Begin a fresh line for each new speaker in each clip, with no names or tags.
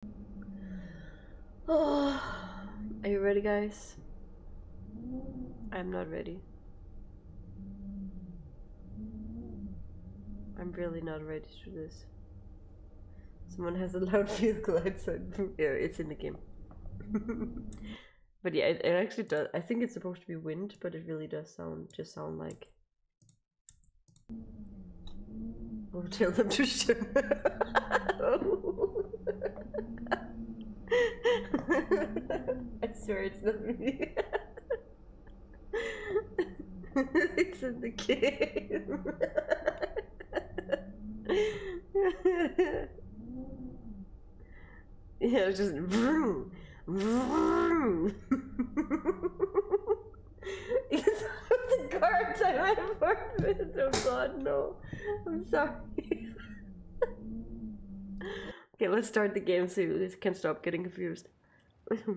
are you ready, guys? I'm not ready. I'm really not ready to this. Someone has a loud vehicle outside. yeah, it's in the game. but yeah, it actually does. I think it's supposed to be wind, but it really does sound just sound like Určil jsem příště. I swear it's not me.
it's in the game. yeah, just vroom, vroom.
Because I was a guard, I ran for a minute. Oh god, no. I'm sorry. okay, let's start the game so we can stop getting confused.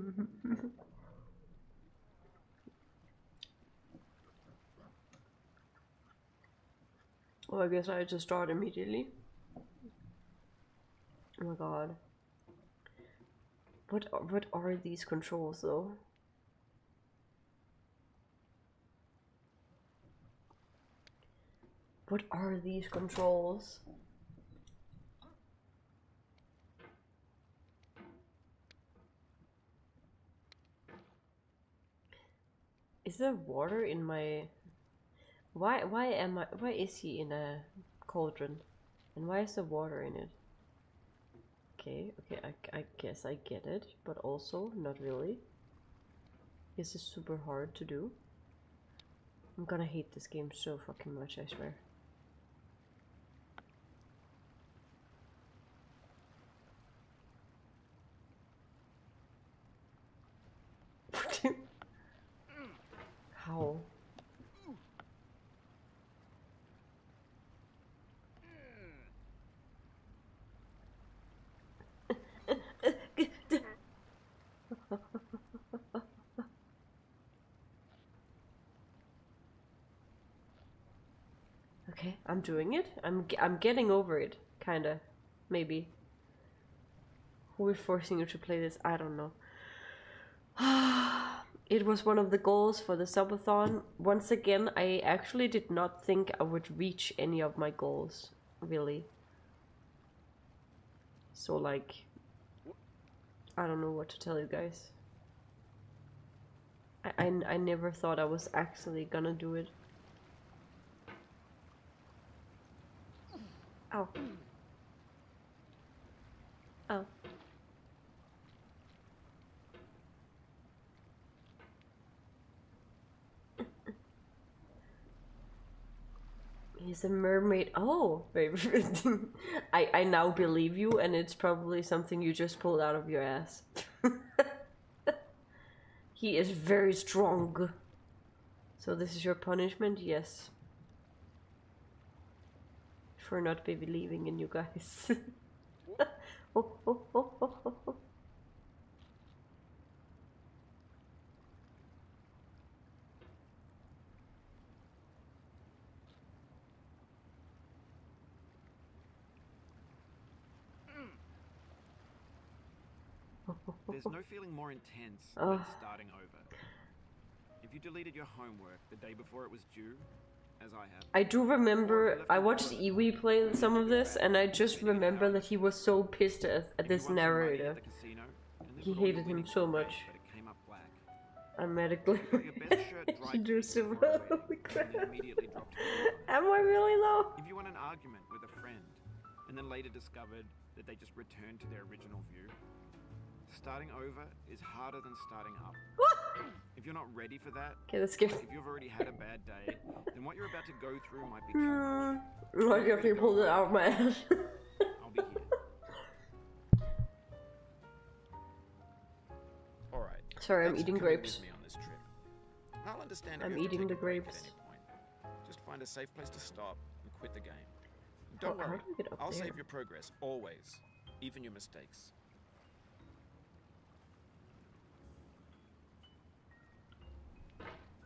Oh, I guess I just start immediately. Oh my god. What what are these controls though? What are these controls? Is there water in my... Why, why am I... Why is he in a cauldron? And why is there water in it? Okay, okay, I, I guess I get it, but also not really. This is super hard to do. I'm gonna hate this game so fucking much, I swear.
How? Hmm.
okay, I'm doing it. I'm I'm getting over it, kinda, maybe. We're forcing you to play this? I don't know. It was one of the goals for the subathon. Once again, I actually did not think I would reach any of my goals, really. So, like, I don't know what to tell you guys. I, I, never thought I was actually gonna do it. Oh. Oh. He's a mermaid. Oh, I, I now believe you, and it's probably something you just pulled out of your ass. he is very strong. So this is your punishment? Yes. For not believing in you guys. oh,
There's no feeling more intense oh. than starting over. If you deleted your homework the day before it was I,
do remember I watched Iwi play some of this, and I just remember that he was so pissed at, this narrator. He hated him so much. I'm medically. you do Am I really low?
If you want an argument with a friend, and then later discovered that they just returned to their original view, starting over is harder than starting up. If you're not ready for that, okay, let's go. if you've already had a bad day, then what you're about to go through might be too much.
Like
if you pulled it out of my ass. I'll be here. Alright. Sorry, I'm eating grapes.
I'll understand I'm eating the grapes. Just find a safe place to stop and quit the game. Oh, don't worry, I'll save your progress, always. Even your mistakes.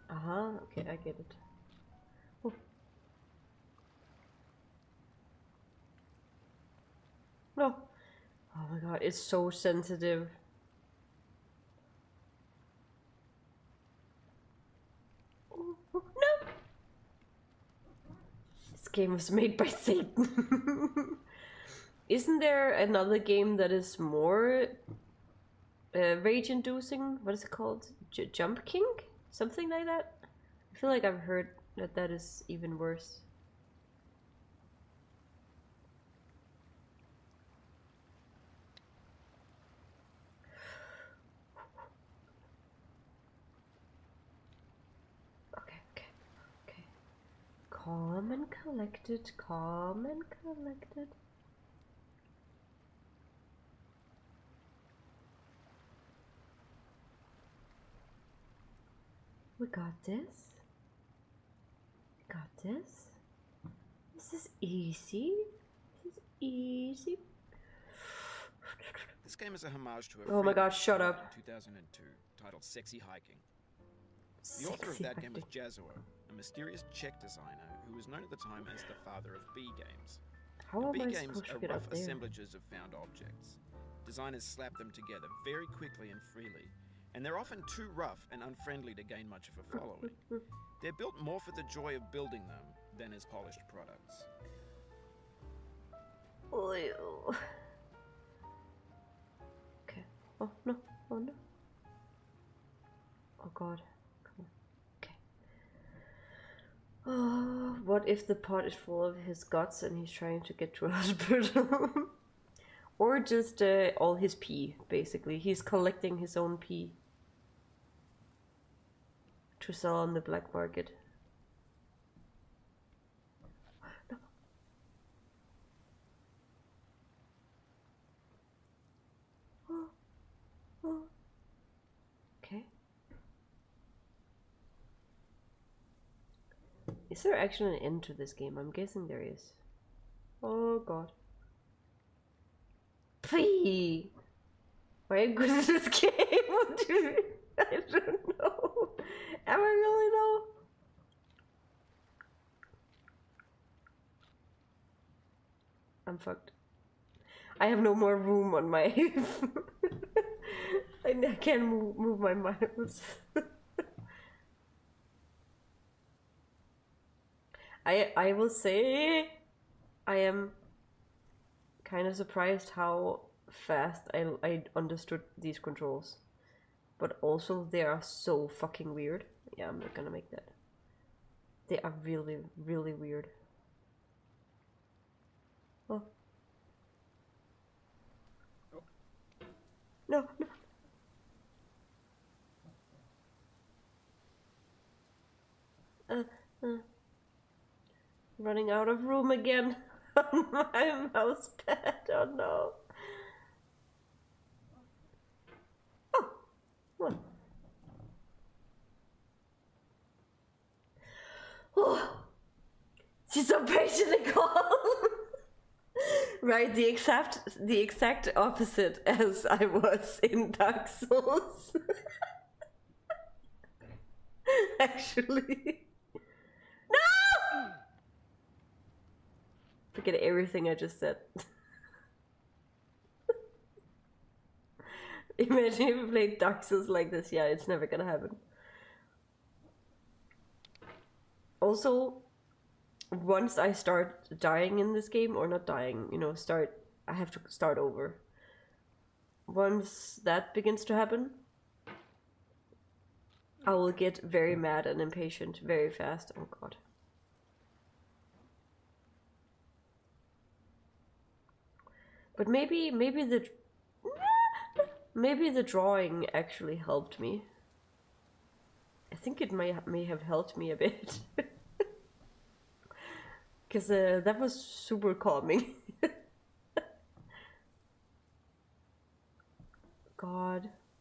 Uh-huh, okay, I get it. Oof. No. Oh, oh my god, it's so sensitive. This game was made by Satan. Isn't there another game that is more uh, rage inducing? What is it called? J Jump King? Something like that? I feel like I've heard that that is even worse. Okay, okay, okay. Calm and collected, calm
and collected. We
got this. We Got this. This is easy. This is easy.
This game is a homage to a Oh my god, shut up. 2002 titled Sexy Hiking. The author of that game was Jazuo, a mysterious Czech designer who was known at the time as the father of B games.
How B games are rough assemblages
of found objects. Designers slap them together very quickly and freely, and they're often too rough and unfriendly to gain much of a following. they're built more for the joy of building them than as polished products.
Okay. Oh no. Oh no. Oh god. Okay. Oh, what if the pot is full of his guts and he's trying to get to a hospital? or just uh, all his pee, basically. He's collecting his own pee to sell on the black market. Okay. Is there actually an end to this game? I'm guessing there is. Oh god. Pfee! Why are this game? Dude, I don't know. Am I really though? I'm fucked. I have no more room on my... I can't move, my mouse. I, I will say I am kind of surprised how fast I, I understood these controls but also they are so fucking weird. Yeah, I'm not gonna make that. They are really, really weird. Oh. No, no. Uh, uh. Running out of room again my mouse pad. don't oh know.
Oh, run. Oh, she's so patient and calm.
right, the exact the exact opposite as I
was in Dark Souls. Actually. No!
Forget everything I just said. Imagine if we like this. Yeah, it's never gonna happen. Also, once I start dying in this game, or not dying, you know, start, I have to start over. Once that begins to happen, I will get very mad and impatient very fast. Oh god. But maybe, maybe the... Maybe the drawing actually helped me. I think it may, may have helped me a bit. Because uh, that was super calming. God.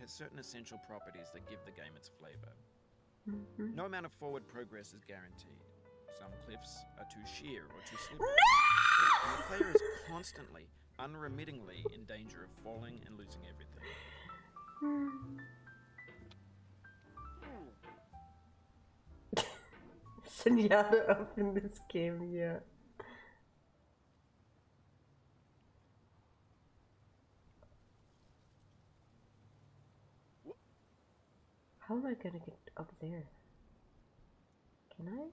has certain essential properties that give the game its flavor. Mm-hmm. No amount of forward progress is guaranteed. Some cliffs are too sheer or too slippery. And the player is constantly, unremittingly in danger of falling and losing everything.
Senjata up in this game, yeah. How am I gonna get up
there? Can I?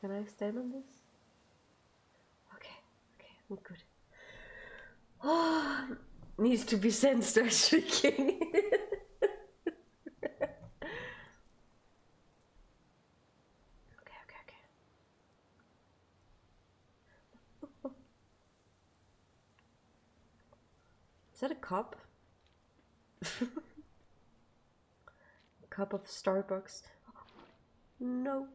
Can I stand on this? Okay, okay, we're good. needs to be sensed as shaking.
okay, okay, okay.
Is that a cup? a cup of Starbucks? No.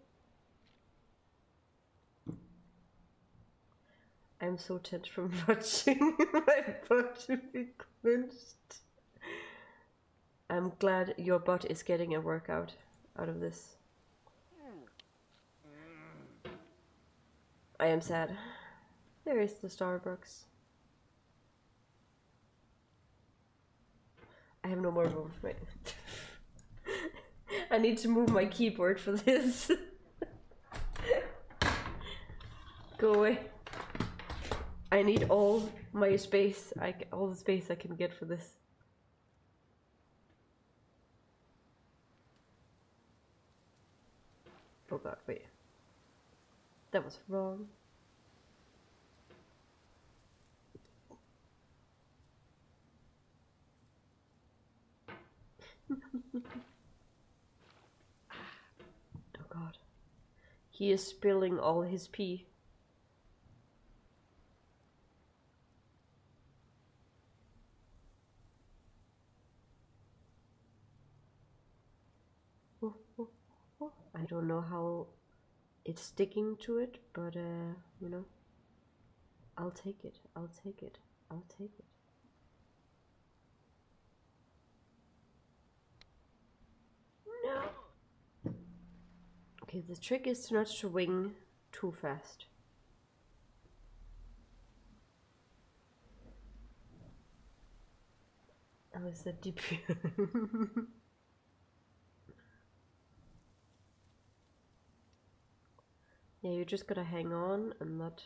I'm so tired from watching. My butt to be clenched. I'm glad your butt is getting a workout out of this. I am sad. There is the Starbucks. I have no more room for my... I need to move my keyboard for this. Go away. I need all my space, I, all the space I can get for this. Oh god, wait. That was wrong. oh god. He is spilling all his pee. I don't know how it's sticking to it, but uh, you know, I'll take it, I'll take it, I'll take it. No. Okay, the trick is not to wing too fast.
Oh, was a deep?
Yeah, you are just going to hang on and that.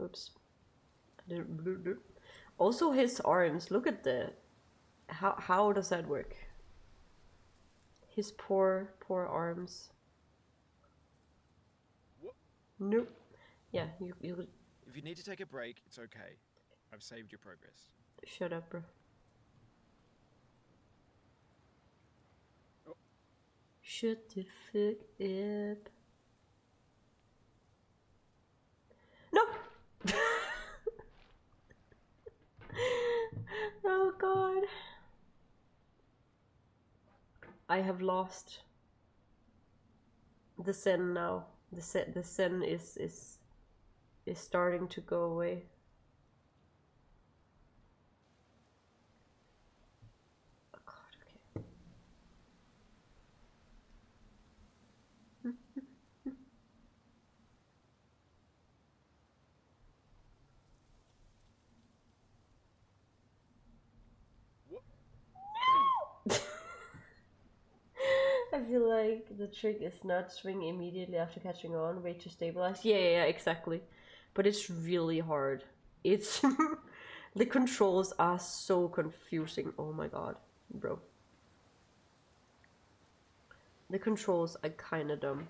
Oops. Also his arms, look at the... How, how does that work? His poor, poor arms. Nope. Yeah, you,
If you need to take a break, it's okay. I've saved your progress.
Shut up, bro. Oh. Shut the fuck up. No! oh god. I have lost the sin now. The sin, the sin is is is starting to go away.
Oh, I feel
like the trick is not swing immediately after catching on, wait to stabilize. Yeah, yeah, exactly. But it's really hard. It's the controls are so confusing. Oh my god, bro. The controls are kinda dumb.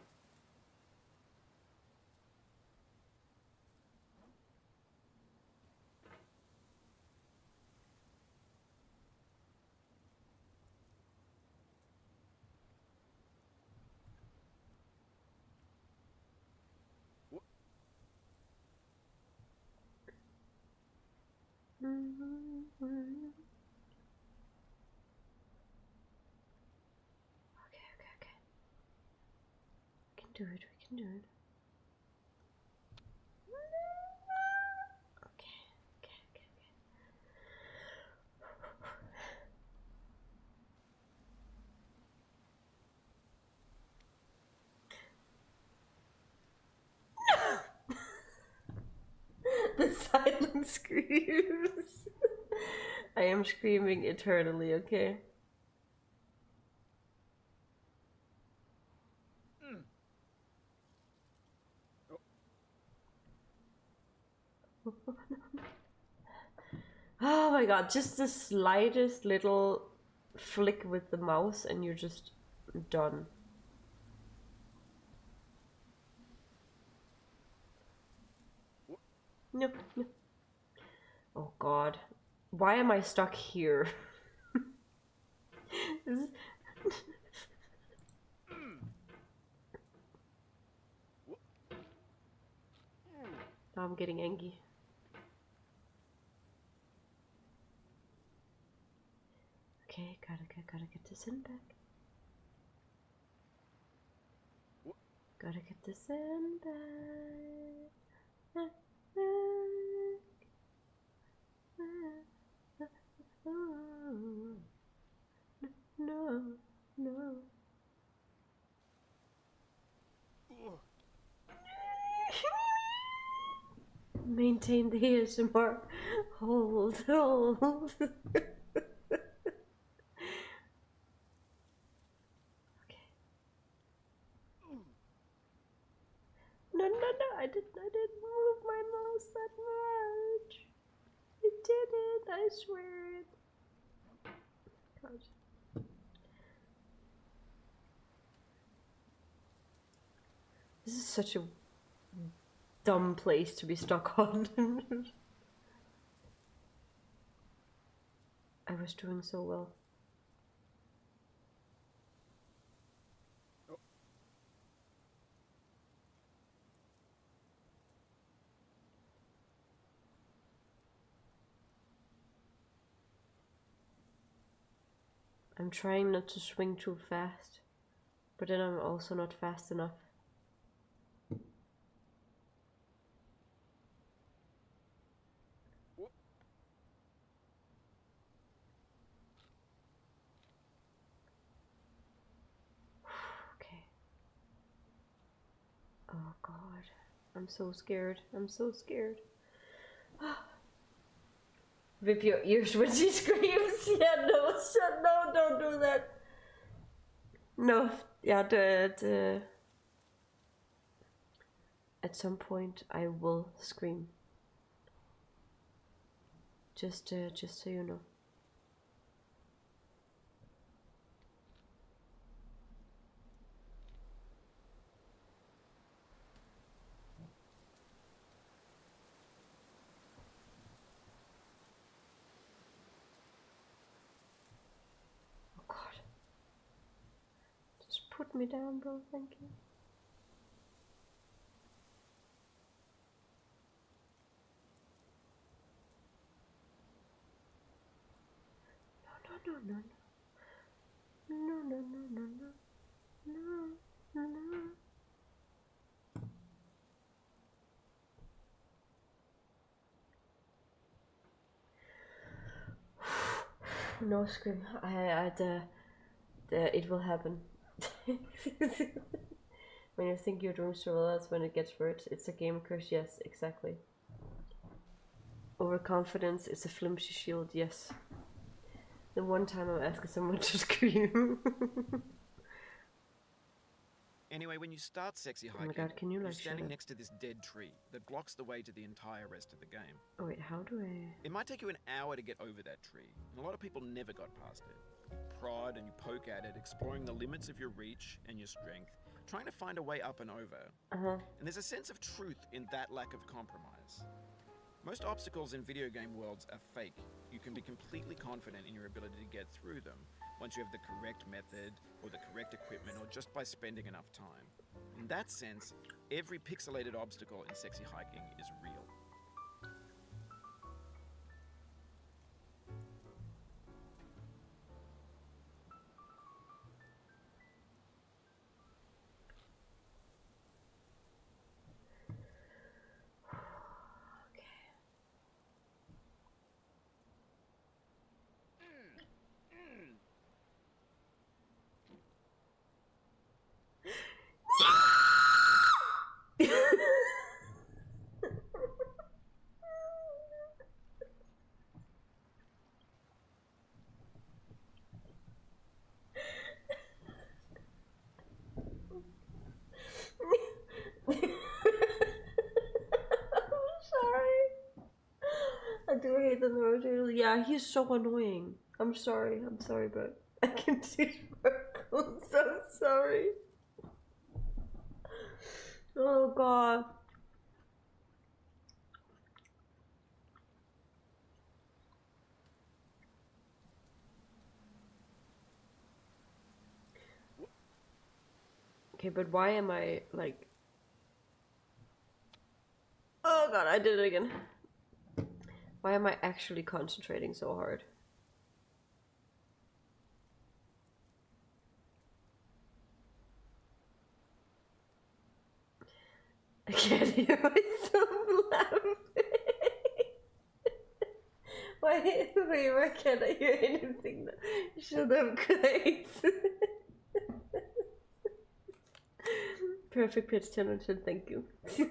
Okay, okay, okay. We can do it, we can do it. Okay, okay, okay,
okay. the silent screams. I am screaming eternally, okay?
Hmm. Oh.
oh. my god, just the slightest little flick with the mouse and you're just done. No, Oh god. Why am I stuck here? I'm getting angry. Okay, gotta, gotta get this in back.
Gotta get this in back.
Maintain the ASMR. Hold, hold. okay.
No, no, no, I didn't, I didn't move my mouse that much. I didn't, I swear it.
This is such a dumb place to be stuck on. I was doing so well. Oh. I'm trying not to swing too fast, but then I'm also not fast enough okay. Oh God, I'm so scared. I'm so scared. Rip your ears when she screams. Yeah, no, shut, no, don't do that. No, yeah, the, the at some point I will scream. Just, uh, just so you know. Oh God. Just put me
down, bro, thank you. No, no, no, no. No, no, no, no, no.
No, no, scream. I had uh, the, it will happen. when you think your dreams travel, that's when it gets worse. It's a game curse, yes, exactly. Overconfidence is a flimsy shield, yes. The one time I'm asking someone to scream.
Anyway, when you start sexy oh hiking, oh you are standing next to this dead tree that blocks the way to the entire rest of the game.
Oh, wait, how do I.
It might take you an hour to get over that tree, a lot of people never got past it. You prod and you poke at it, exploring the limits of your reach and your strength, trying to find a way up and over. Uh-huh. And there's a sense of truth in that lack of compromise. Most obstacles in video game worlds are fake. You can be completely confident in your ability to get through them once you have the correct method or the correct equipment or just by spending enough time. In that sense, Every pixelated obstacle in sexy hiking is real.
Mm, mm.
I do hate this emoji. Yeah, he's so annoying. I'm sorry. I'm sorry, but I can teach
vocals. I'm so sorry.
Oh god. Okay, but why am I like Oh god, I did it again. Why am I actually concentrating so hard?
I can't hear myself
laugh. Why, wait, why can I hear
anything? Shut up, Grace.
Perfect pitch, Tennington, thank you. it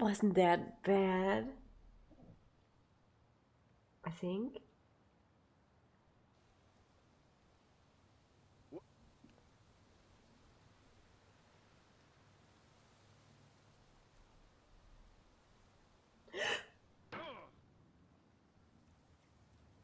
wasn't that bad. I think.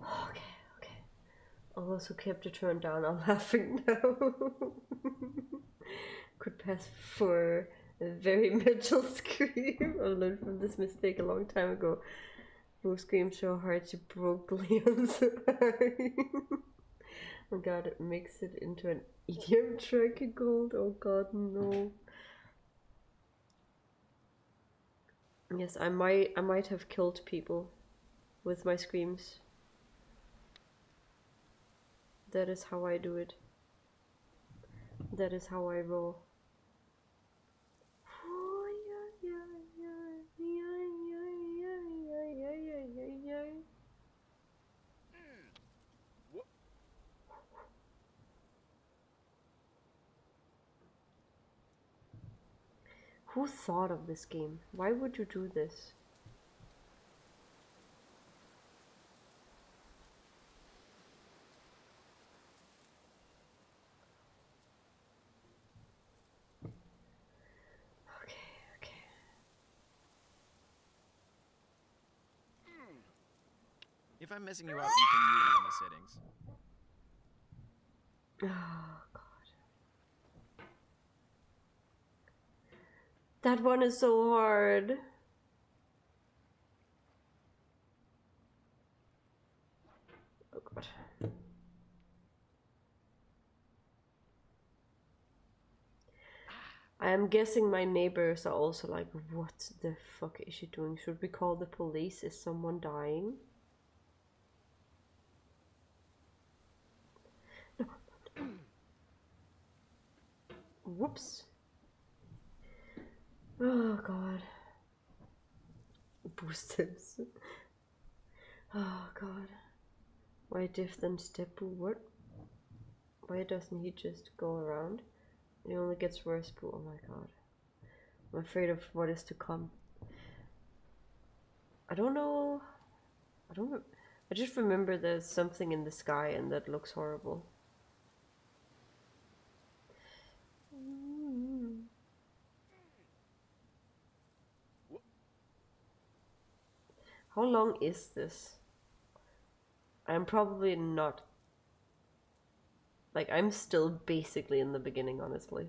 Okay, okay. All those who kept the turn down I'm laughing now. Could pass for a very mental scream. I learned from this mistake a long time ago. Will scream so hard she broke Leon's arm. oh god, it makes it into an idiom track gold. Oh god, no. Yes, I might I might have killed people with my screams. That is how I do it. That is how I roll. Who thought of this game? Why would you do this?
Okay, okay. If I'm messing you up, you can mute me in the settings.
Oh, God.
That one is so hard. Oh, God. I'm guessing my neighbors are also like, what the fuck is she doing? Should we call the police? Is someone dying? Whoops.
Oh god. Boosters. Oh god.
Why different step forward? Why doesn't he just go around? It only gets worse, but oh my god. I'm afraid of what is to come. I don't know. I don't. I just remember there's something in the sky and that looks horrible. How long is this? I'm probably not. Like, I'm still basically in the beginning, honestly.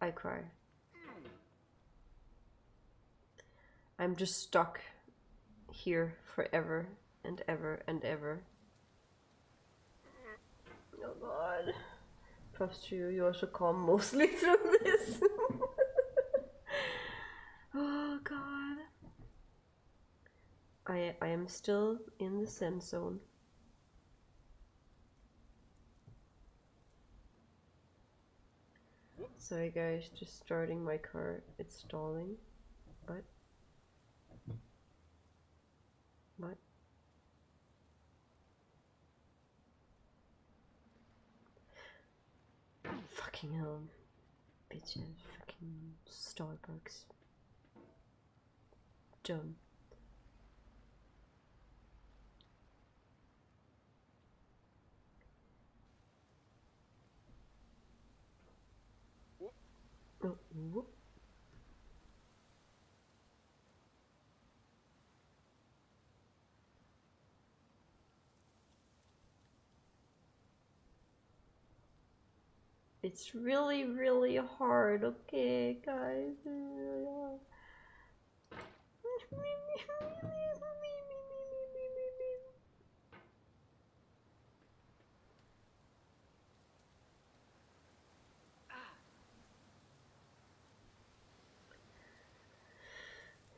I cry. I'm just stuck here forever and ever and ever. Oh god. Props to you, you also calm mostly through this. oh god. I, I am still in the send zone. Sorry guys, just starting my car, it's stalling, but, but, Fucking hell. Bitches. Fucking Starbucks. Dumb. Uh, it's really, really hard, okay, guys?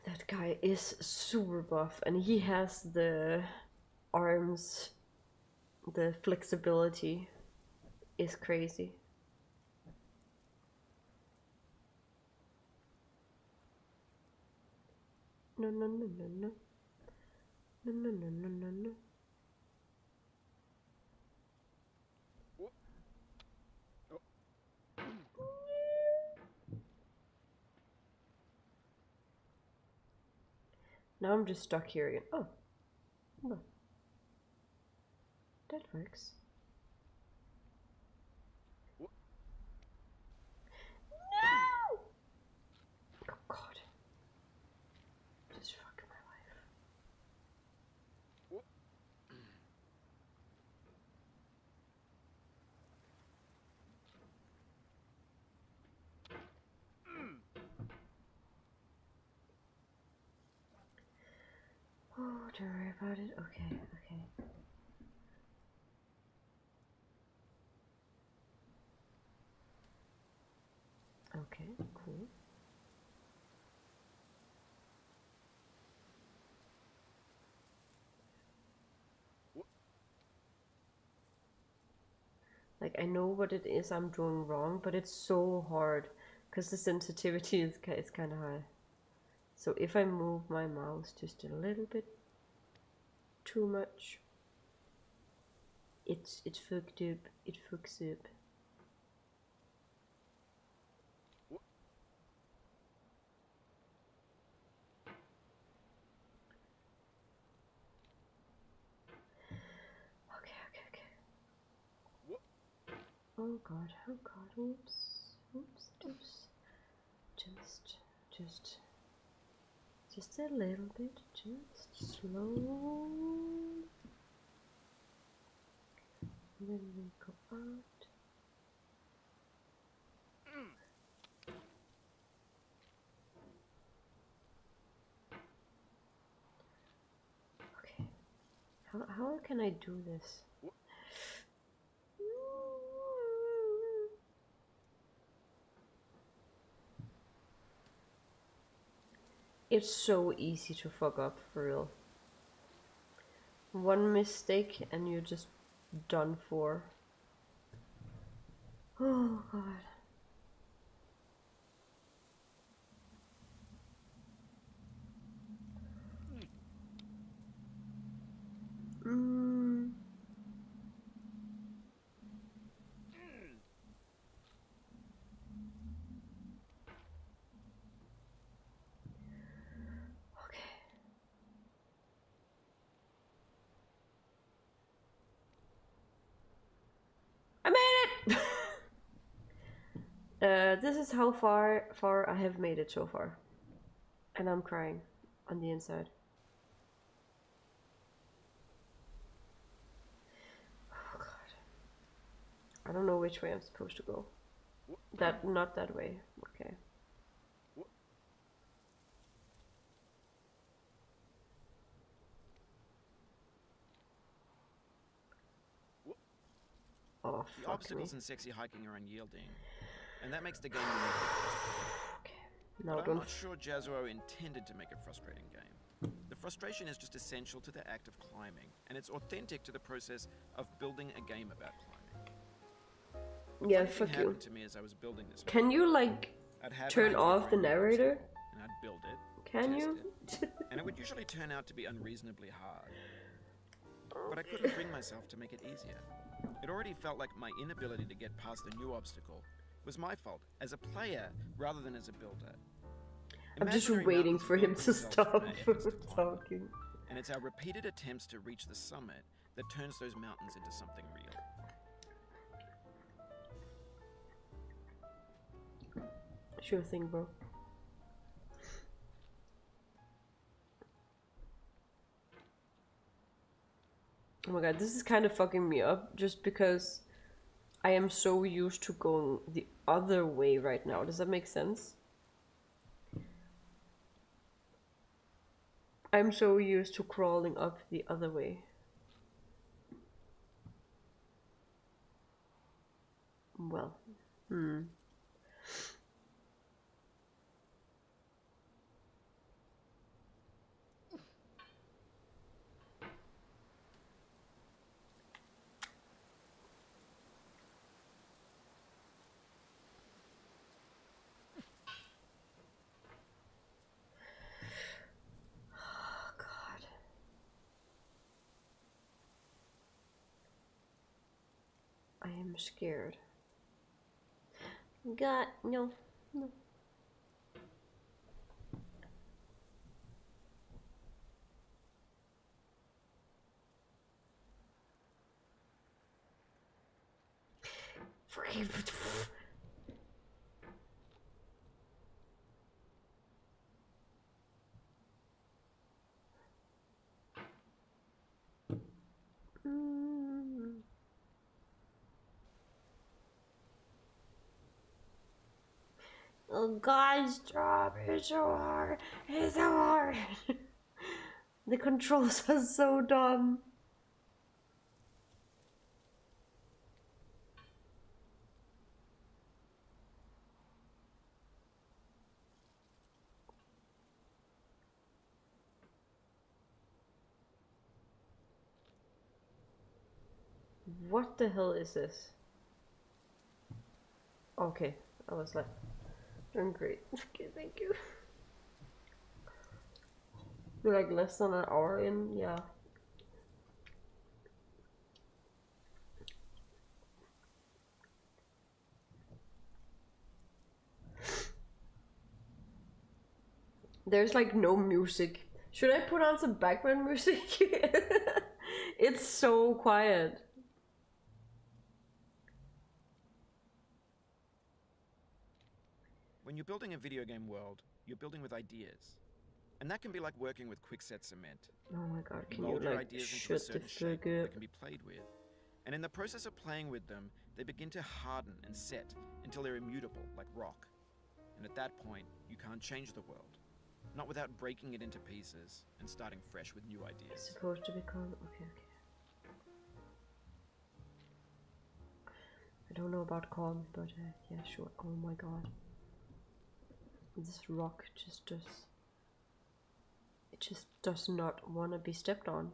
that guy is super buff and he has the arms, the flexibility is crazy.
No, no, no, no, no. No, no, no, no, no,
now I'm just stuck here again. Oh,
look. That works. No! Oh god. Just fucking my life. Oh, don't worry about it. Okay, okay. Okay, cool.
Like I know what it is I'm doing wrong, but it's so hard because the sensitivity is, is kind of high. So if I move my mouse just a little bit too much, it's it fucked up, it fucks up.
Okay, okay, okay.
Oh god, oh god, oops, oops, oops. Just, just, just a little bit, just slow.
then we go out. Mm.
Okay. How, how can I do this? It's so easy to fuck up, for real. One mistake and you're just done for.
Oh, God. Mm.
Okay. I made it! uh, this is how far, far I have made it so far. And I'm crying on the inside. Oh god. I don't know which way I'm supposed to go. That, not that way. Okay.
Oh, the obstacles in sexy hiking are unyielding, and that makes the game
okay. I'm not
sure Jazuo intended to make a frustrating game. The frustration is just essential to the act of climbing, and it's authentic to the process of building a game about
climbing. Yeah, fuck you. Can you like turn off the narrator?
And I'd build Can you? It, and it would usually turn out to be unreasonably hard. But I couldn't bring myself to make it easier. It already felt like my inability to get past a new obstacle was my fault as a player rather than as a builder. I'm just waiting for him to stop
talking.
And it's our repeated attempts to reach the summit that turns those mountains into something real.
Sure thing, bro. Oh my god, this is kind of fucking me up just because I am so used to going the other way right now. Does that make sense? I'm so used to crawling up the other way. Well, hmm.
Oh, God.
I am scared. God, no,
no. Free.
Oh God's job so hard. It's so hard. the controls are so dumb. What the hell is this? Okay, I was like, I'm great. Okay, thank you. We're like less than an hour in, yeah. There's like no music. Should I put on some background music? it's so quiet.
When you're building a video game world, you're building with ideas. And that can be like working with quickset cement. Oh my god, can Mold you like ideas into a the shape up? That can be played with. And in the process of playing with them, they begin to harden and set until they're immutable, like rock. And at that point, you can't change the world. Not without breaking it into pieces and starting fresh with new ideas.
I don't know about calm, but uh, yeah, sure. Oh my god. This rock just does. It just does not want to be stepped on.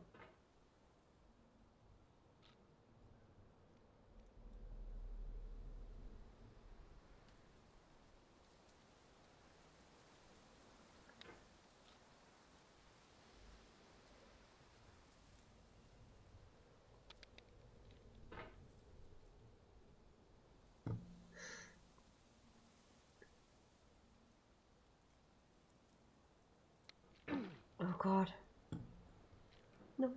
Oh god.
No.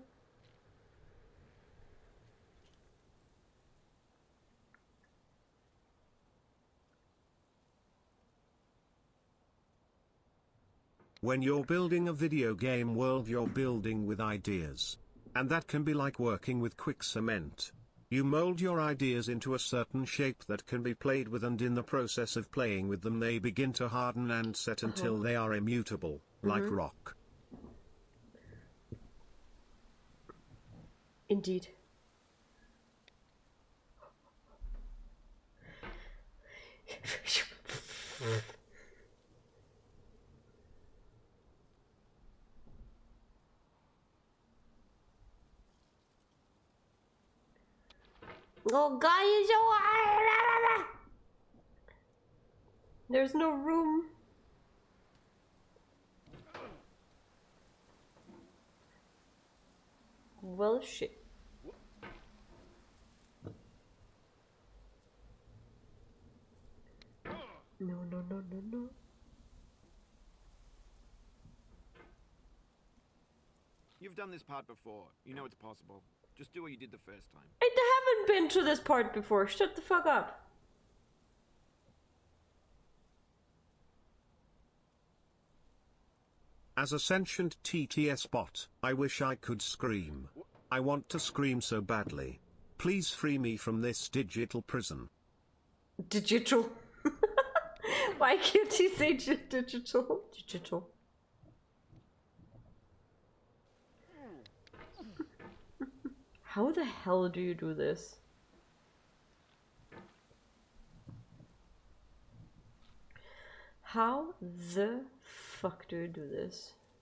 When you're building a video game world you're building with ideas. And that can be like working with quick cement. You mold your ideas into a certain shape that can be played with and in the process of playing with them they begin to harden and set uh-huh. until they are immutable, like mm-hmm. rock.
Indeed. Oh god, you so ah, There's no room. Well, shit.
No, no, no, no, no.
You've done this part before. You know it's possible. Just do what you did the first time. I
haven't been to this part before. Shut the
fuck up.
As a sentient TTS bot, I wish I could scream. I want to scream so badly. Please free me from this digital prison.
Digital? Why can't you say digital? Digital. How the hell do you do this? How the fuck do you do this?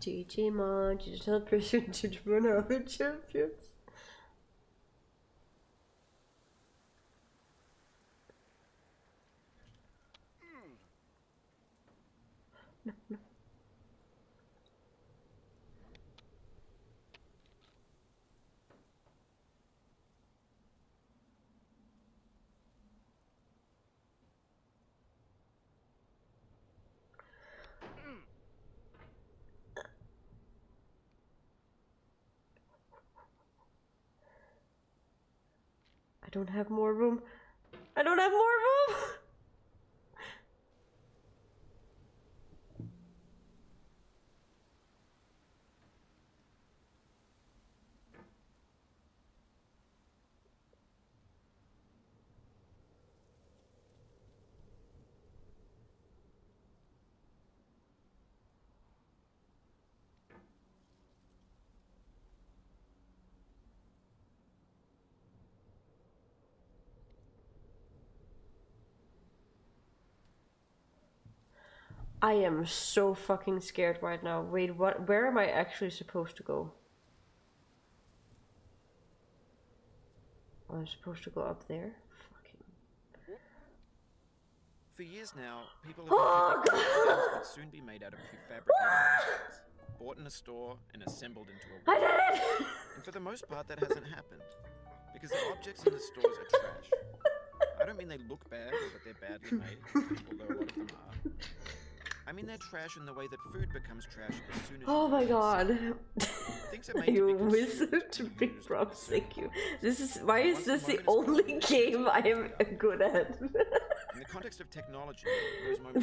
GG digital prison judgment over champions. No, no. I don't have more room. I don't have more room! I am so fucking scared right now. Wait, what? Where am I actually supposed to go? I'm supposed to go up there.
For years now, people have oh, God. would soon be made out of prefabricated bought in a store and assembled into a. Wall. did And for the most part, that hasn't happened because the objects in the stores are trash. I don't mean they look bad but they're badly made, although a are. I mean they're trash in the way that food becomes trash as soon as. Oh my god!
you wizard to be prosecuted. This is why is this the only game I am good at? In the
context of technology,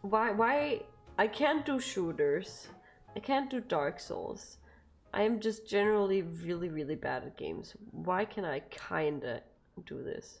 Why? Why? I can't do shooters. I can't do Dark Souls. I am just generally really, really bad at games. Why can I kinda do this?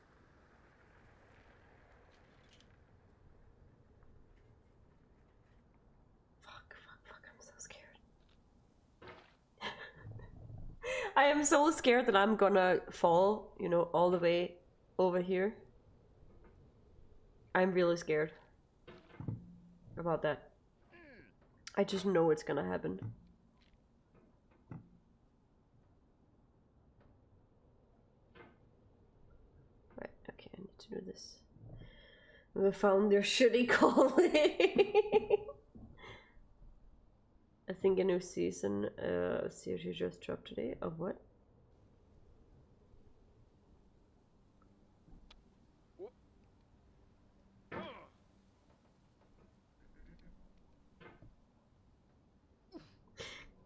Fuck, fuck, fuck, I'm so scared. I am so scared that I'm gonna fall, you know, all the way over here. I'm really scared about that. I just know it's gonna happen. Right, okay, I need to do this. We found their shitty calling. I think a new season uh, series just dropped today. Of what?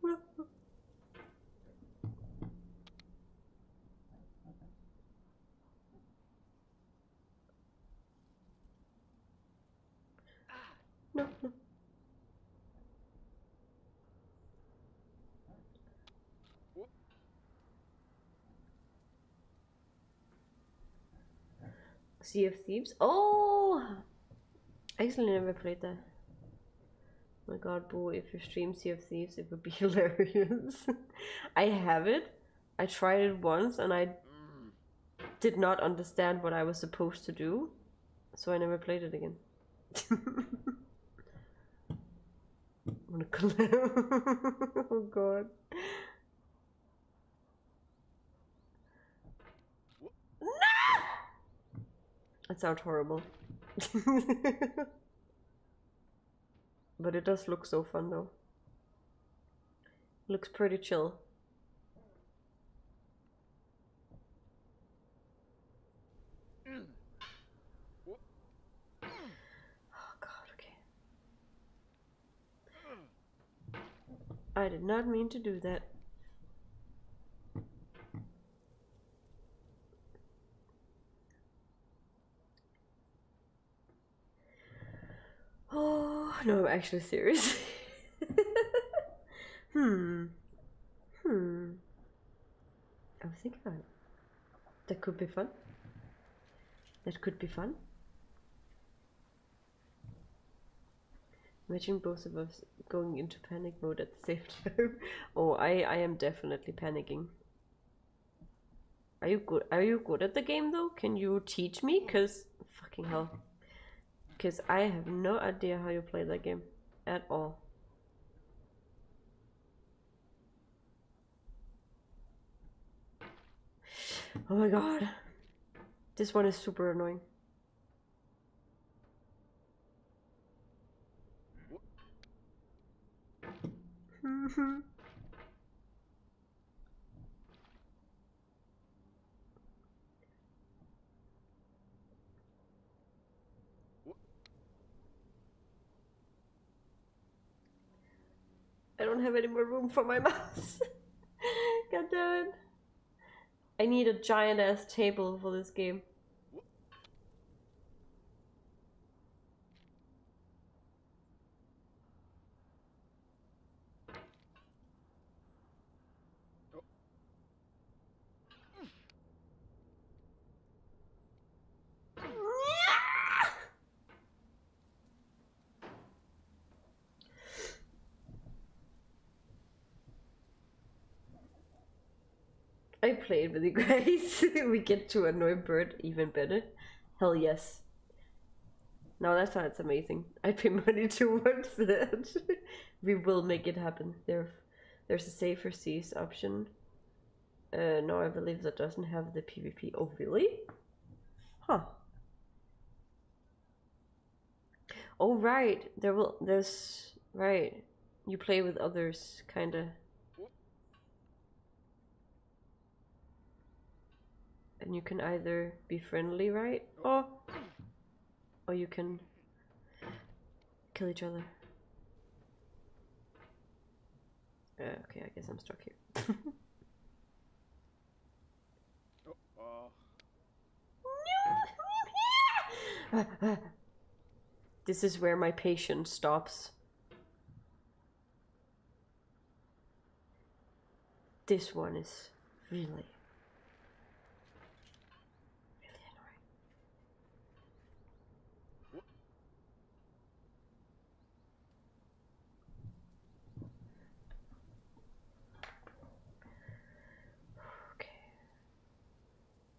no, no. Sea of Thieves. Oh! I actually never played that. my god, boy! if you stream Sea of Thieves, it would be
hilarious.
I have it. I tried it once and I did not understand what I was supposed to do, so I never played it again.
oh
god. No! That sounds horrible. but it does look so fun though. Looks pretty chill. Oh, I did not mean to do that. Oh, no, I'm actually serious. hmm. Hmm. I was thinking That could be fun. That could be fun. Imagine both of us going into panic mode at the same time. oh, I, I am definitely panicking. Are you good? Are you good at the game though? Can you teach me? Cause fucking hell. Cause I have no idea how you play that game at all. Oh my god. This one is super annoying. Mm-hmm. I don't have any more room for my mouse. God damn it. I need a giant ass table for this game. I played with you guys. we get to annoy Bird even better. Hell yes. No, that It's amazing. I pay money to watch that. we will make it happen. There, there's a safer seas option. Uh, no, I believe that doesn't have the PvP. Oh, really? Huh. Oh, right. There will. There's right you play with others, kinda. And you can either be friendly, right? Or, oh. or you can kill each other. Uh, okay, I guess I'm stuck here. Oh, uh. ah, ah. This is where my patience stops. This one is really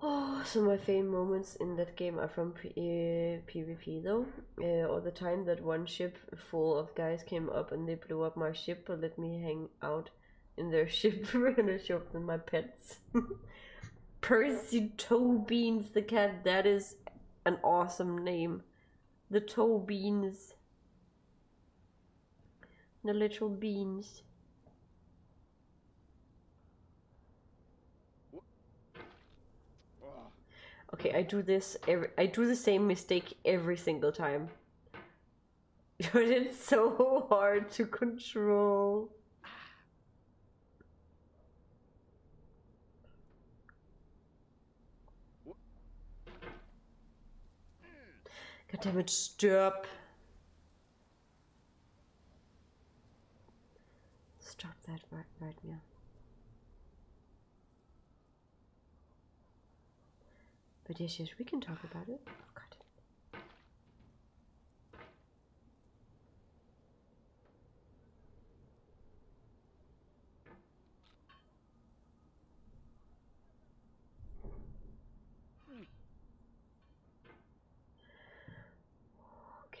Oh, so my fame moments in that game are from PvP uh, though, uh, or the time that one ship full of guys came up and they blew up my ship but let me hang out in their ship and I showed them my pets. Percy Toe Beans the cat, that is an awesome name. The toe beans. The little beans. Okay, I do this every, I do the same mistake every single time. it's so hard to control. God damn it, stop. Stop that right, right now. But yes, yes, we can
talk about it. Oh, okay.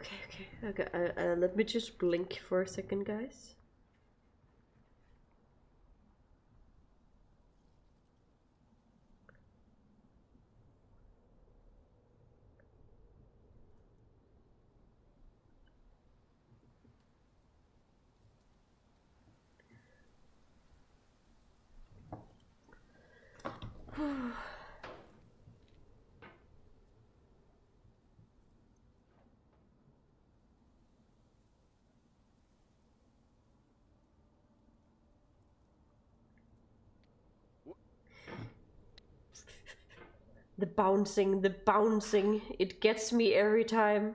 Okay, okay, okay. Uh, uh, let me just blink for a second, guys. the bouncing, the bouncing, it gets me every time.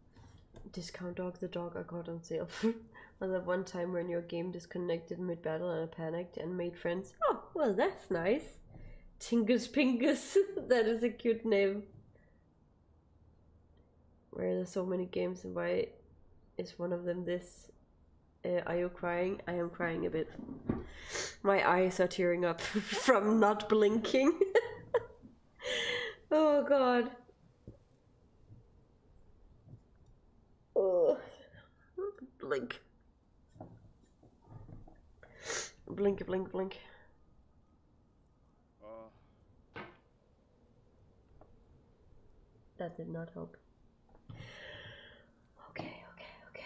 Discount Dog, the dog I got on sale. Was that one time when your game disconnected mid battle and I panicked and made friends. Oh, well, that's nice. Tingus Pingus. that is a cute name. Where are there so many games and why is one of them this? Uh, are you crying? I am crying a bit. My eyes are tearing up from not blinking. oh god. Oh, blink. Blink, blink, blink.
Uh.
That did not help. Okay, okay, okay.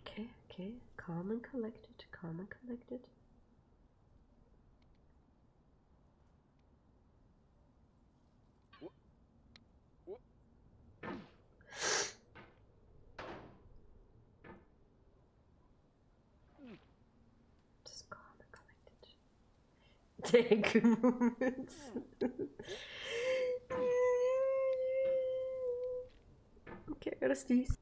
Okay, okay, calm and collected, calm and collected.
Just calm and collected. Take moments. Hmm. Okay, got a sneeze.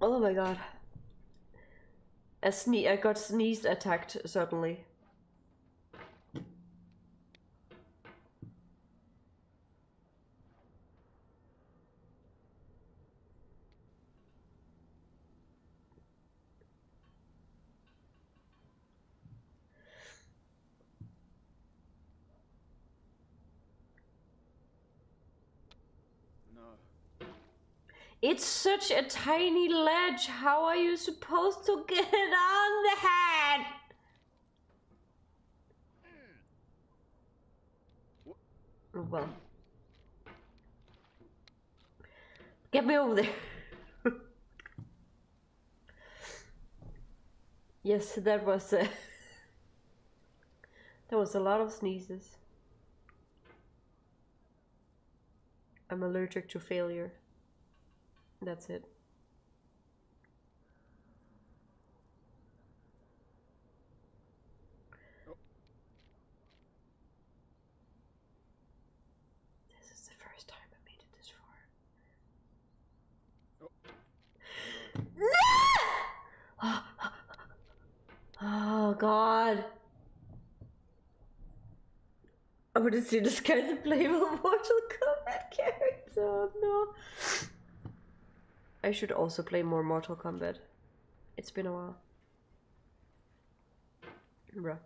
Oh my god.
A sne I got sneezed attacked suddenly. It's such a tiny ledge. How are you supposed to get on the head? Hmm. Well. Get me over there. yes, that was uh, There was a lot of sneezes. I'm allergic to failure. That's it.
This is the first time I made it this far. No!
Oh, ah, God. I wouldn't see this kind of play with Mortal
Kombat character. no.
I should also play more Mortal Kombat. It's been a while. Bruh.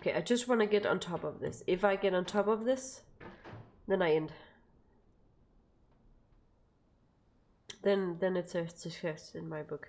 Okay, I just want to get on top of this. If I get on top of this, then I end. Then, then it's a success in my book.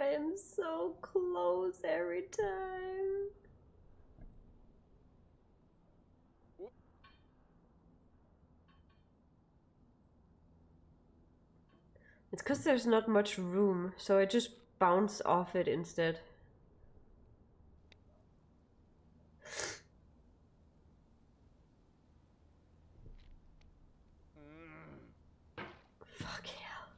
I am so close every time. It's because there's not much room, so I just bounce off it instead.
Mm. Fuck hell.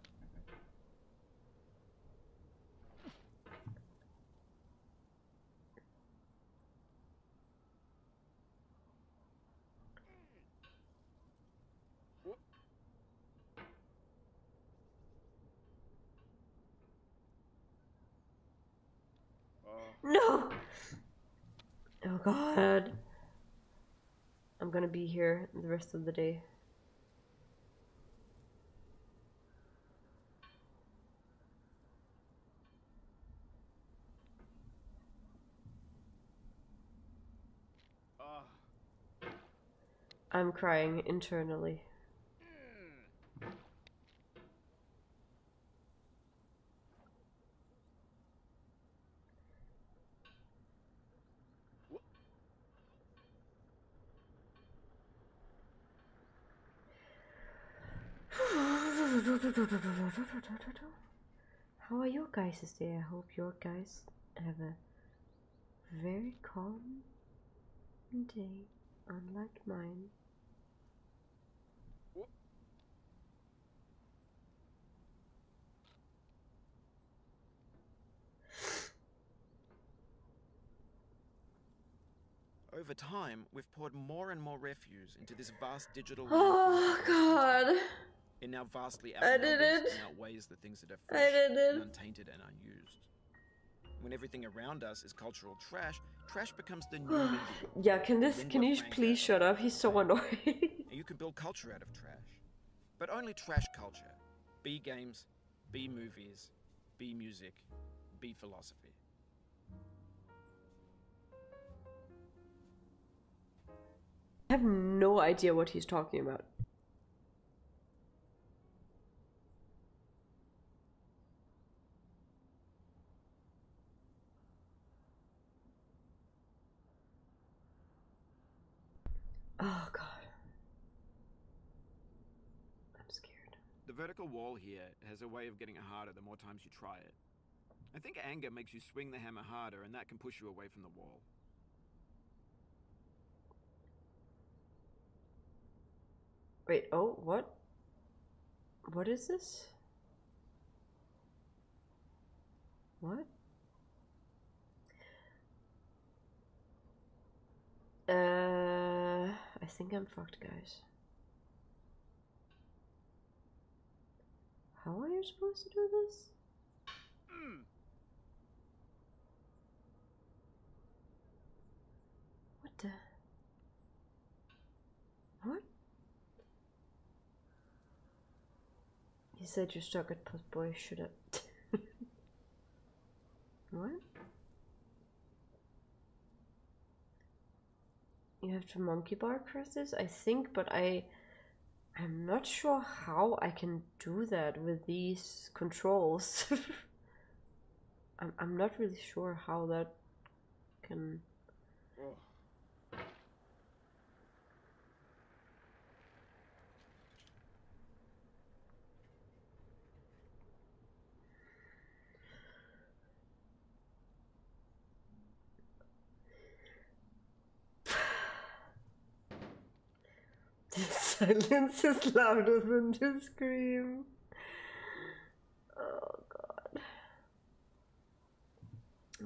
No! Oh
god. I'm gonna be here the rest of the day. Ah. I'm crying internally.
How are you
guys today? I hope your guys have a very calm day, unlike mine.
Over time, we've poured more and more refuse into this vast digital. Oh God! It now vastly outnumbers and outweighs the things that are fresh, and untainted, and unused. When everything around us is cultural trash, trash becomes the new. medium. yeah, can this? can you
please shut up? He's so annoying.
you can build culture out of trash, but only trash culture. B games, be movies, be music, be philosophy.
I have no idea what he's talking about.
Oh god.
I'm scared. The vertical wall here has a way of getting harder the more times you try it. I think anger makes you swing the hammer harder and that can push you away from the wall.
Wait, oh, what? What is this? What? Uh, I think I'm fucked, guys.
How are you supposed to do this?
What the? What? You said you stuck at boy, should I? Alright. You have to monkey bar press this, I think, but I I'm not sure how I can do that with these controls. I'm I'm not really sure how that can
the silence is louder than the scream. Oh god.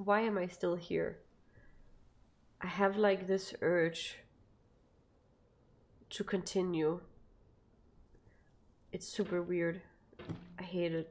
Why am I still here? I have like this urge to continue. It's super weird. I hate it.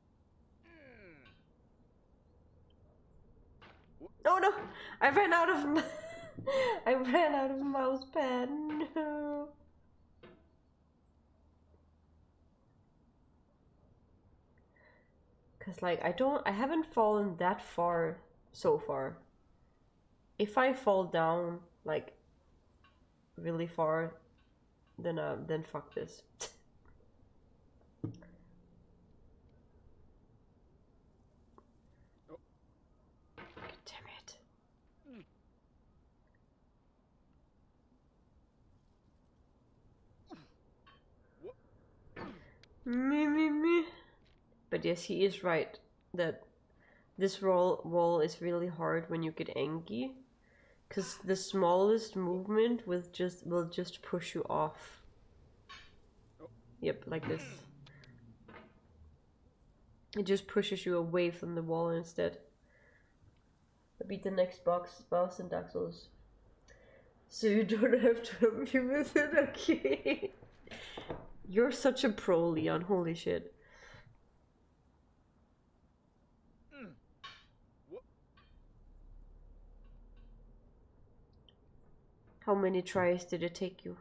Hmm. Oh no! I ran out of... I ran out of mouse pad. Cause like I don't I haven't fallen that far so far. If I fall down like really far, then uh then fuck this. Me, me, me. But yes, he is right that this wall wall is really hard when you get angry, because the smallest movement with just will just push you off. Yep, like this. It just pushes you away from the wall instead. I beat the next box boss and Dark So you don't have to help me with it, okay? You're such a pro, Leon, holy shit. Hmm. How many tries did it take you?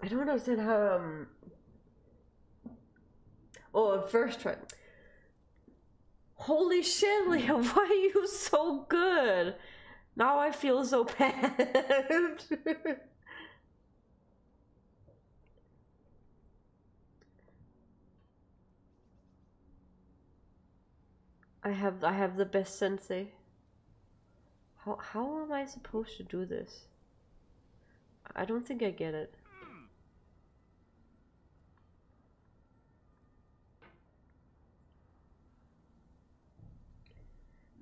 I don't understand how. Um, oh, first try. Holy shit, Leah, why are you so good? Now I feel so bad. I have I have the best sensei. How, how am I supposed to do this? I don't think I get it.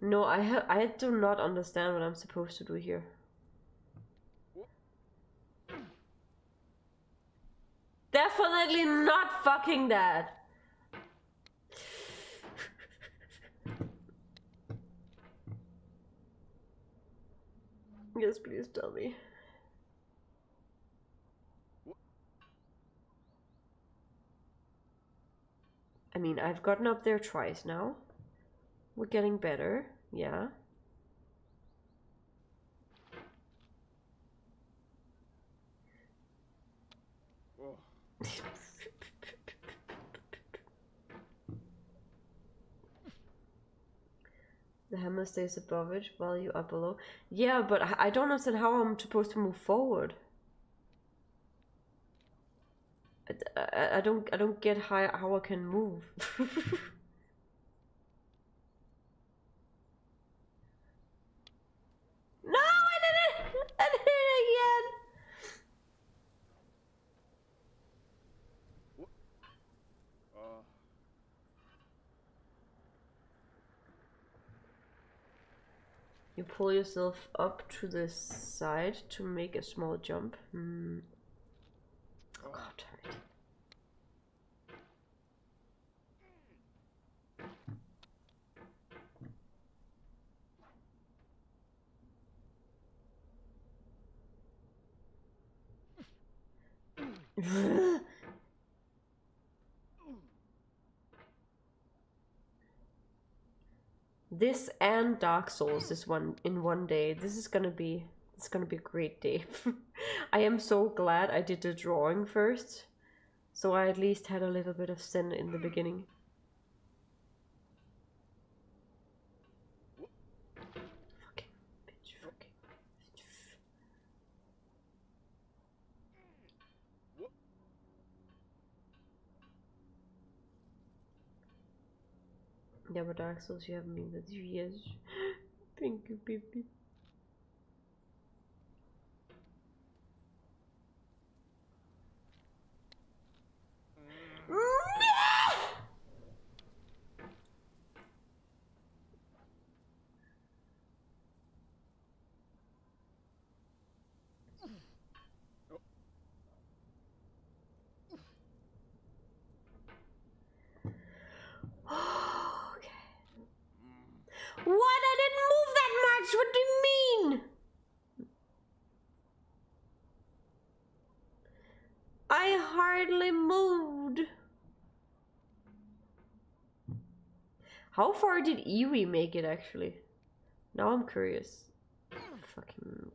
No, I have I do not understand what I'm supposed to do here. Definitely not fucking that. Yes, please tell me. I mean, I've gotten up there twice now. We're getting better, yeah. The hammer stays above it while you are below. Yeah, but I don't understand how I'm supposed to move forward. I, don't I don't get how how I can
move. no, I did it! I did it again.
You pull yourself up to the side to make a small jump. Hmm.
Oh, God, oh, tired
this and Dark Souls is one in one day. This is gonna be it's gonna be a great day. I am so glad I did the drawing first, so I at least had a little bit of sin in the beginning. Okay, bitch, bitch! okay. Yeah, but Dark Souls, you have me with you, yes. Thank you, baby.
What? I didn't move that much. What do you mean?
I hardly moved. How far did Ewe make it actually? Now I'm curious. Fucking.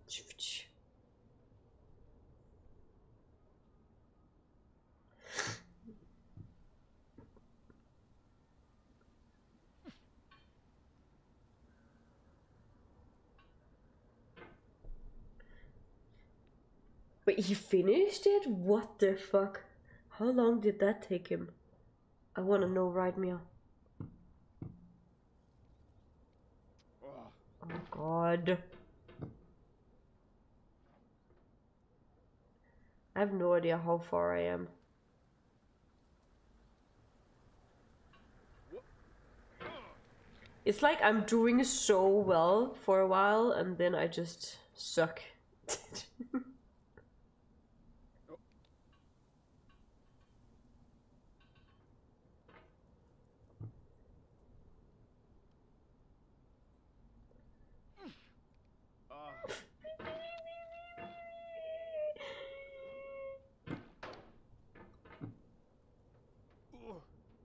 But he finished it? What the fuck? How long did that take him? I wanna know right now.
Oh
god. I have no idea how far I am. It's like I'm doing so well for a while and then I just suck.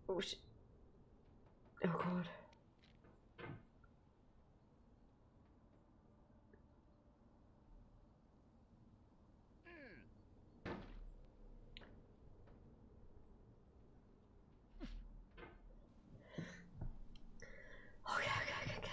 Oh, shit. Oh, God. Okay, okay, okay, okay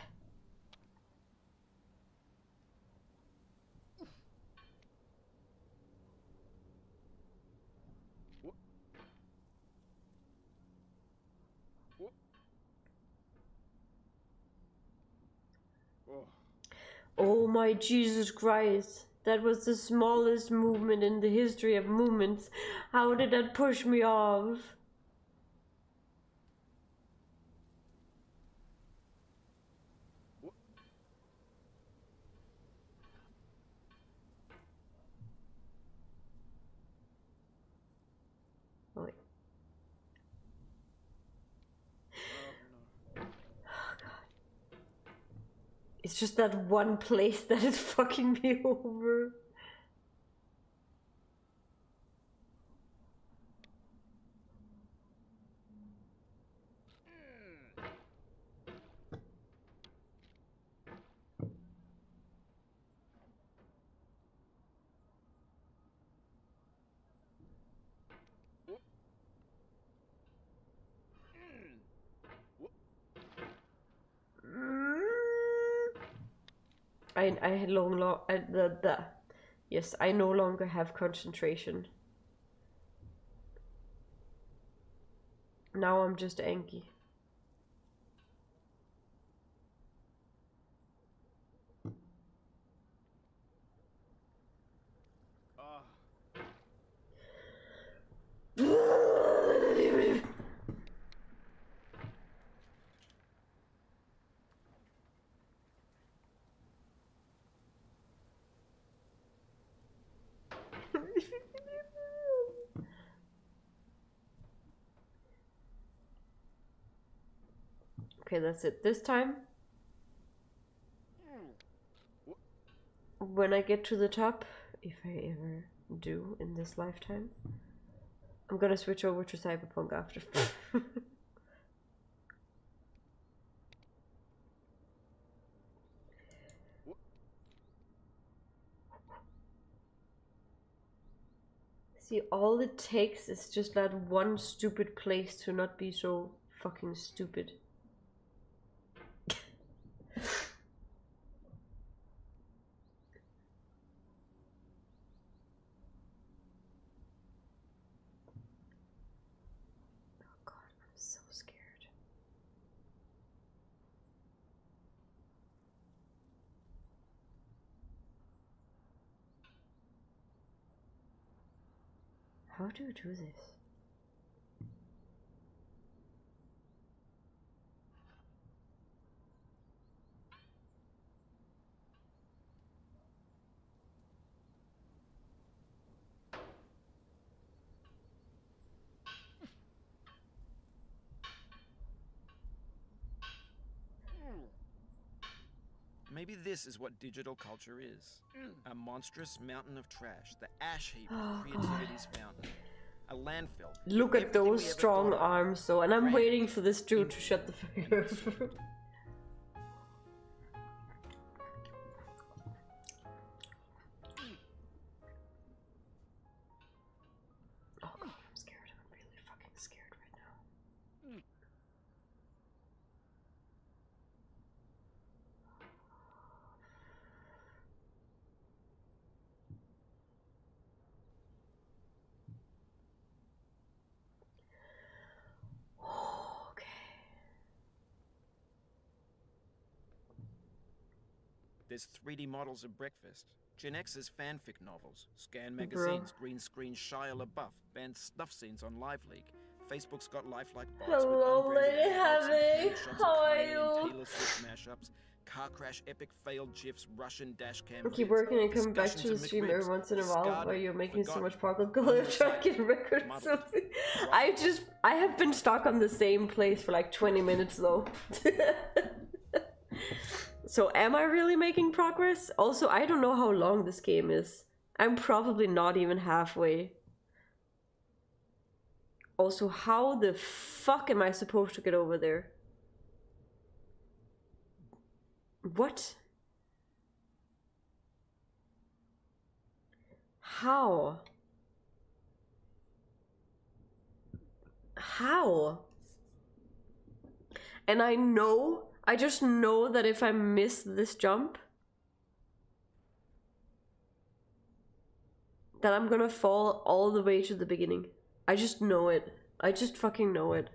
oh my Jesus Christ. That was the smallest movement in the history of movements. How did that push me off?
Oh, wait. It's
just that one place that is fucking me over. I I long long the the yes I no longer have concentration. Now I'm just angry okay, that's it. This time, when I get to the top, if I ever do in this lifetime, I'm gonna switch over to Cyberpunk after. See, all it takes is just that one stupid place to not be so fucking stupid. Oh, I'm so scared. How do you do this?
Maybe this is what digital culture is a monstrous mountain of trash, the ash heap of creativity's fountain, a landfill. Look at
those strong arms, though, and I'm waiting for this dude to shut the fuck up.
Oh god, I'm scared. I'm really fucking scared right now.
Okay. There's 3D models of breakfast, Genex's fanfic novels, scan magazines, green screen Shia LaBeouf, banned stuff scenes on Live Leak. Facebook's got lifelike bots Hello,
with Lady Heavy. How are you?
Taylor Swift car crash epic failed gifs, Russian dash cam. Keep working and come back to the stream every once in a while. Why you're making so much
progress? Go
try
and get record something. I
just I have been stuck on the same place for like 20 minutes though. so am I really making progress? Also, I don't know how long this game is. I'm probably not even halfway. Also, how the fuck am I supposed to get over there? What? How? How? And I know, I just know that if I miss this jump, that I'm gonna fall all the way to the beginning. I just know it. I just fucking know it.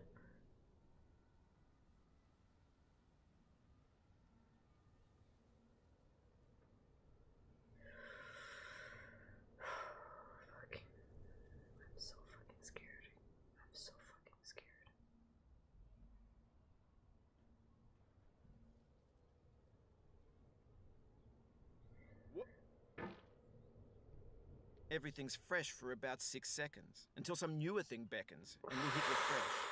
Look, I'm so fucking scared. I'm so fucking scared.
Everything's fresh for about six seconds until some newer thing beckons, and we hit refresh.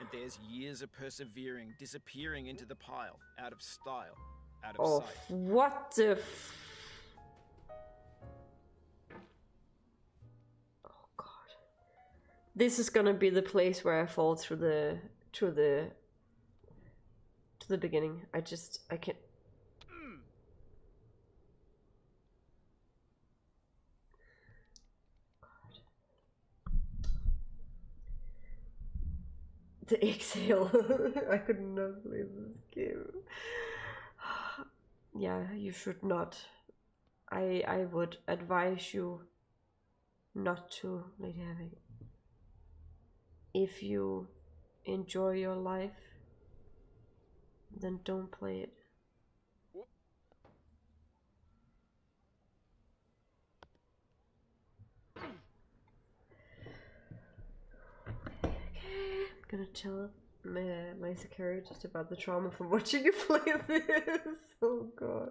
And there's years of persevering, disappearing into the pile, out of style, out of oh,
What the Oh god. This is gonna be the place where I fall through the to the to the beginning. I just I can't
to exhale. I could not
play this game. yeah, you should not. I I would advise you not to play heavy. If you enjoy your life, then don't play it. I'm gonna tell my, my security just about the trauma from watching you play this. oh god.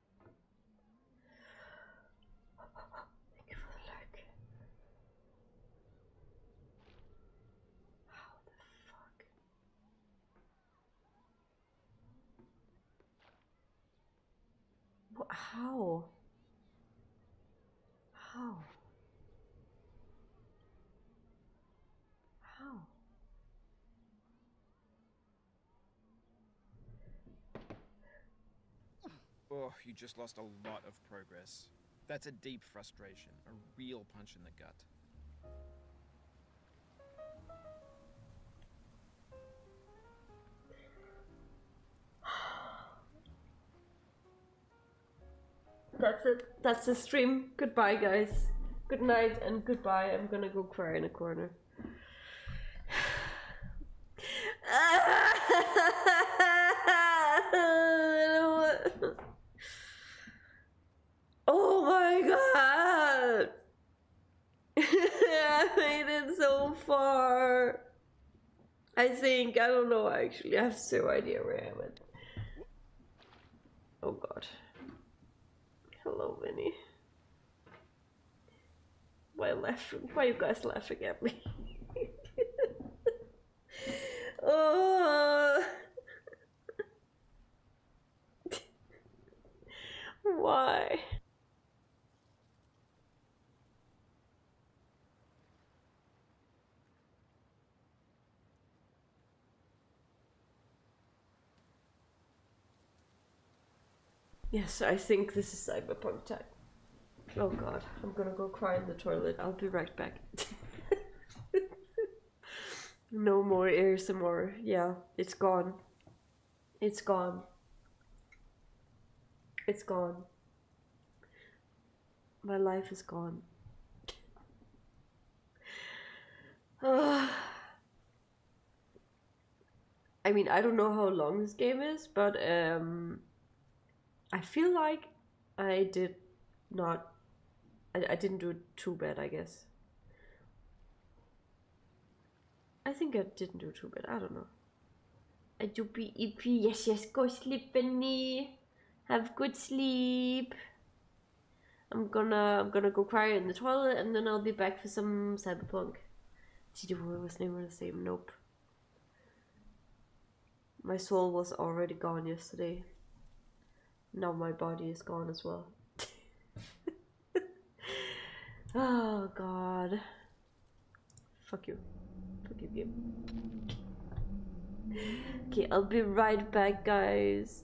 Thank you for the like. How the fuck? how? How? How?
Oh, you just lost a lot of progress. That's a deep frustration, a real punch in the gut.
That's it. That's the stream. Goodbye, guys. Good night and goodbye. I'm gonna go cry in a corner. oh my god! I made it so far. I think, I don't know I actually, have no idea where I went. Oh god. Hello, Winnie. Why laughing? Why you guys laughing at me? uh,
why?
Yes, I think this is cyberpunk time. Oh god, I'm gonna go cry in the toilet. I'll be right back. no more ASMR. Yeah, it's gone. It's gone. It's gone. My life is gone. I mean, I don't know how long this game is, but um, I feel like I did not. I, didn't do it too bad, I guess. I think I didn't do too bad. I don't know. I do be EP. Yes, yes. Go sleep, Benny. Have good sleep. I'm gonna I'm gonna go cry in the toilet and then I'll be back for some cyberpunk. Did you always name were the same? Nope. My soul was already gone yesterday. Now my body is gone as well. oh god. Fuck you. Fuck you, okay, I'll be right back, guys.